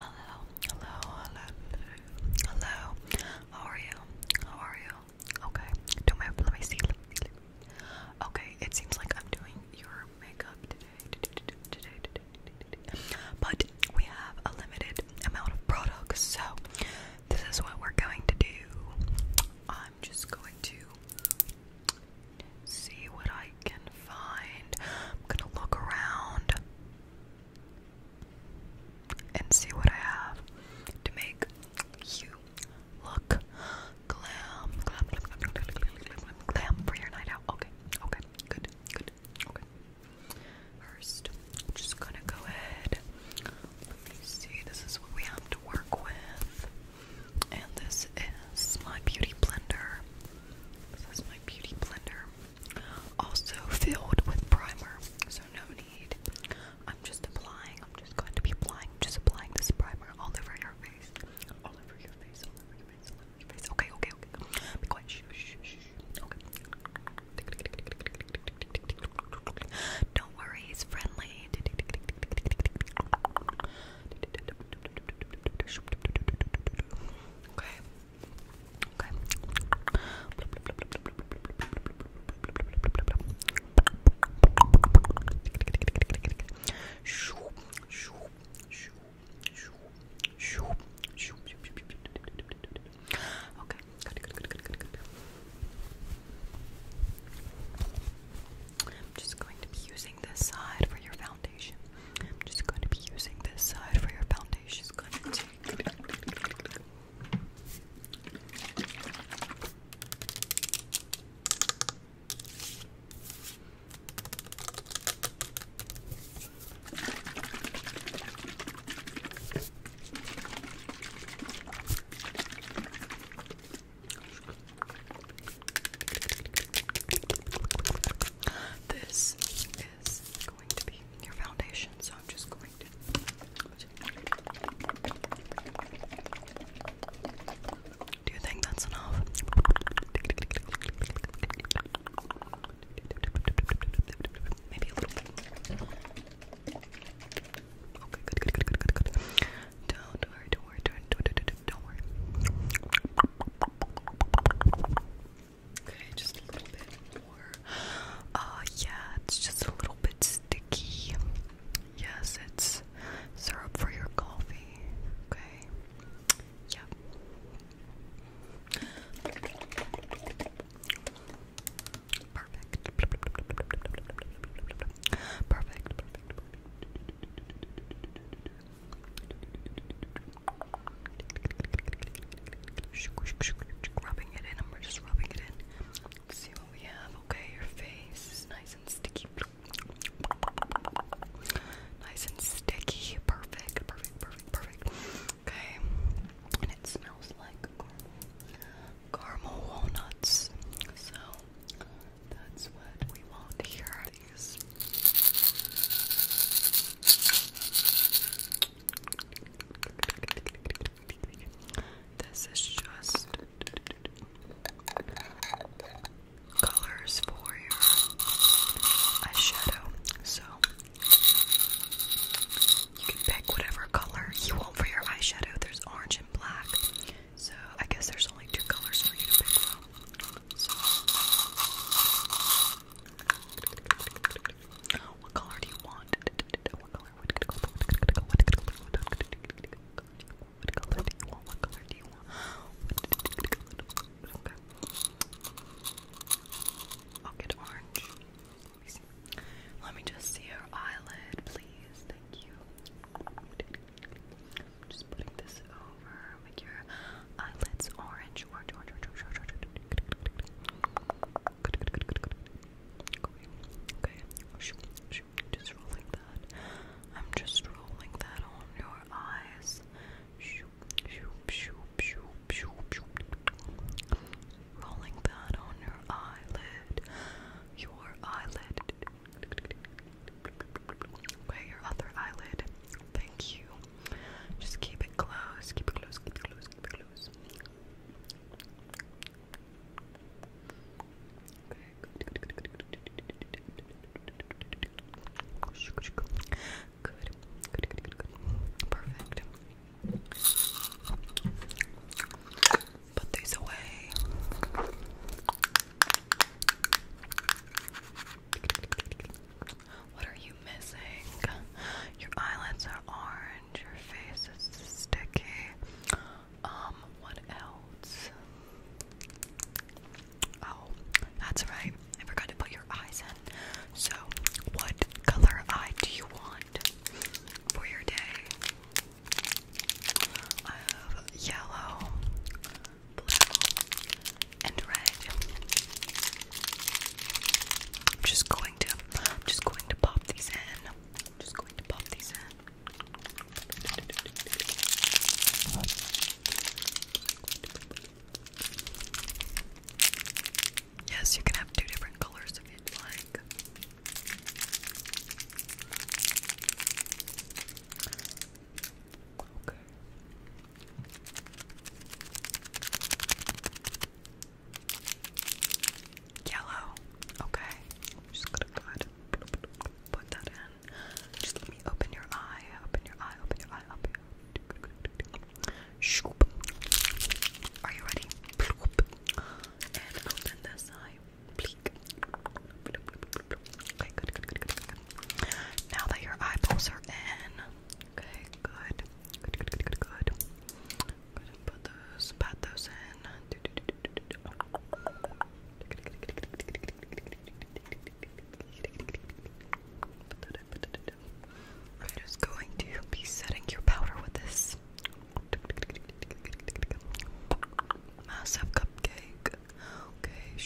Hello, hello, hello, hello. How are you? How are you? Okay. Do my let me see. Okay. It seems like I'm doing your makeup today. But we have a limited amount of products, so this is what we're going to do. I'm just going to see what I can find. I'm gonna look around and see what I have to make you look glam, glam, glam, for your night out. Okay, okay, good, good, okay. 1st just gonna go ahead. Let me see. This is what we have to work with, and this is my beauty blender. This is my beauty blender. Also filled with primer, so no need. I'm just applying, I'm just going to be applying, just applying this primer all over your face. All over your face, all over your face, all over your face. Okay, okay, okay. Be quiet. Shh, shh, shh. Okay. Don't worry, it's friendly. Okay. Okay. Okay. Good, good, good, good, good, good. I'm just going to be using this side for your foundation. I'm just going to be using this side for your foundation is going to be your foundation. So I'm just going to. Do you think that's enough? Maybe a little bit. Don't worry, don't worry, don't, do don't worry. Okay, just a little bit more. Uh, yeah, it's just a little bit sticky. Yes, it's syrup for your coffee. Okay. Yep. Perfect. Perfect. Rubbing it in, and we're just rubbing it in. see what we have. Okay, your face is nice and sticky. Nice and sticky. Perfect, perfect, perfect, perfect. Okay, and it smells like caramel walnuts. So that's what we want here. This is just colors for your eyeshadow, so you can pick whatever color you want for your eyeshadow. There's orange and black, so I guess there's only two colors for you to pick from. What color do you want? What color? What color? I'll get orange. Let me just see your eyelid, please. Thank you. Just putting this over your eyelids orange, orange, orange, orange, orange, orange, orange. Okay, okay. Just rolling that. I'm just rolling that on your eyes. Rolling that on your eyelid. Your eyelid. Okay, your other eyelid. Thank you. Just keep it close, keep it close, keep it close, keep it close. Put these away. What are you missing? Your eyelids are orange, your face is sticky. Um, what else? Oh, that's right. I forgot to put your eyes in. So, what color eye do you want for your day? I have yellow, blue, and red. I'm just going to, I'm just going to pop these in. I'm just going to pop these in. Yes, you can have two different colors if you'd like. Okay. Yellow. Okay. just gonna put that in. Just let me open your eye. Open your eye. Open your eye. Open your Are you ready? And open this eye. Okay, good, good, good, good, good. Now that your eyeballs are in, okay, good. Good, good, good, good, good. Put those, pat those in. I'm just going to be setting your powder with this massive cupcake. Okay,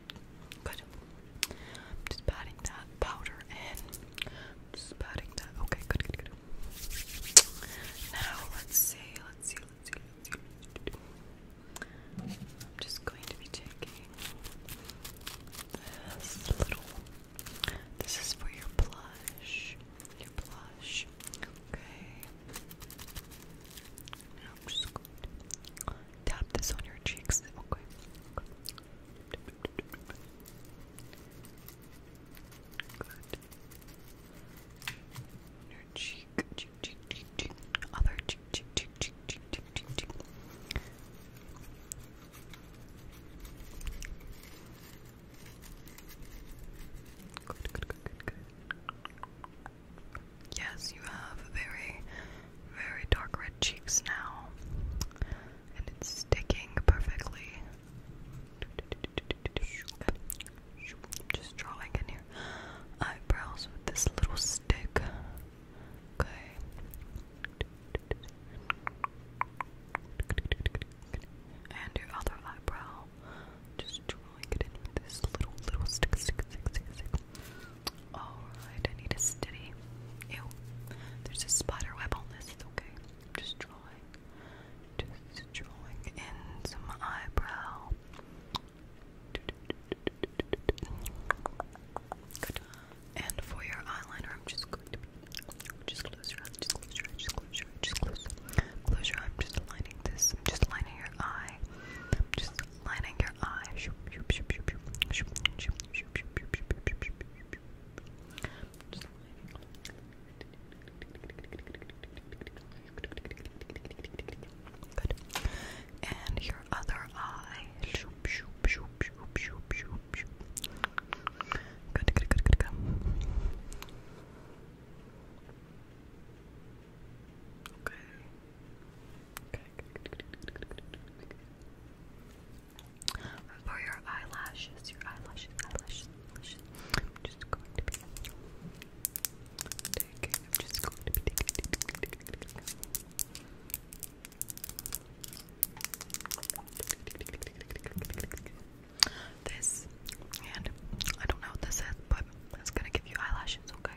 Good. I'm just patting that powder in. Just patting that. Okay, good, good, good. Now let's see, let's see, let's see, let's see. I'm just going to be taking this little. This is for your blush. Your blush. Okay. Tap this on your cheeks. Okay. Good. your cheek, cheek, cheek, cheek, Other cheek, cheek, cheek, cheek, cheek, cheek. Good, good, good, good, good yes, you have very, very dark red cheeks now, and it's sticking perfectly. just drawing in your eyebrows with this little stick. Okay. And your other eyebrow. Just drawing in with this little, little stick, stick, stick, stick. Alright, I need a steady. Ew. There's a spider web on this, it's okay. I'm just drawing. Just drawing in some eyebrow. Good. And for your eyeliner, I'm just just close your eye, just close your eye, just close your eye, just close. Close your eye. I'm just lining this. I'm just lining your eye. I'm just lining your eye. Good. And your other eye. Good, good, good, good, good. Okay. For your eyelashes, your eyelashes, eyelashes, eyelashes, I'm just going to be just going This, and I don't know what this is, but it's gonna give you eyelashes, okay?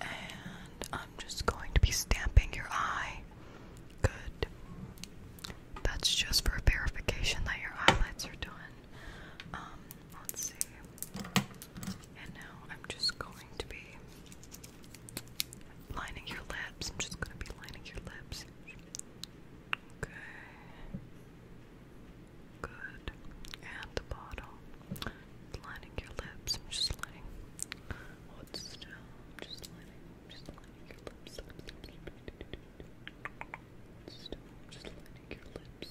And I'm just going to be stamping your eye. Good. That's just for verification that your eyelids are done. Um, let's see. And now I'm just going to be lining your lips. I'm just going to be lining your lips. Okay. Good. And the bottle. Just lining your lips. I'm just lining. Hold oh, still. I'm just lining. I'm just lining your lips. Still. I'm just lining your lips.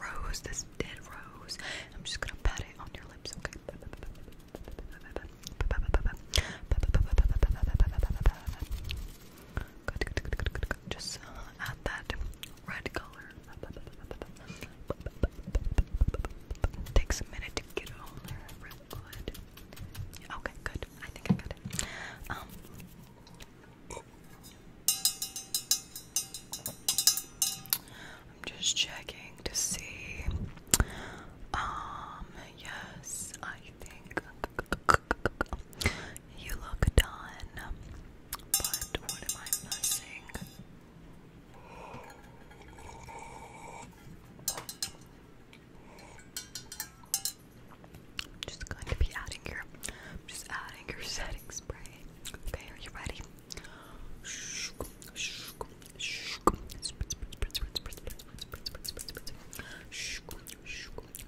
Rose. This dead rose. I'm just gonna pat it on your lips. Okay. Good. Just uh, add that red color. Takes a minute to get all there. Real good. Okay, good. I think I got it. Um, I'm just checking to see. Um, yes, I think you look done. I am just going to be adding your, I'm just adding your setting spray. Okay, are you ready?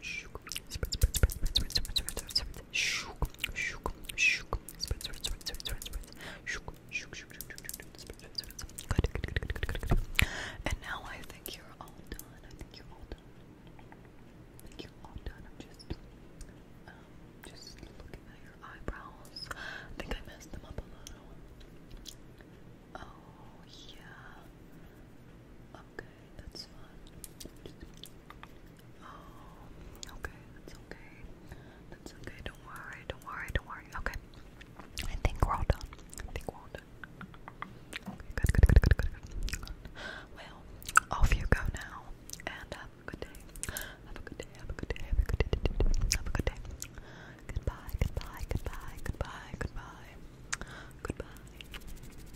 shook, now I think you're all done. I think you're all done. I think you're all done. I'm just um just looking at your eyebrows. I think I messed them up a little. Oh yeah. Okay, that's fine. Oh, okay, that's okay. That's okay, don't worry, don't worry, don't worry. Okay. I think we're all done. I think we're all done. good, good, good, good, good, good. Well, off you go now. And have a good day. Have a good day, have a good day, have a good day. Have a good day. Goodbye, goodbye, goodbye, goodbye, goodbye. Goodbye.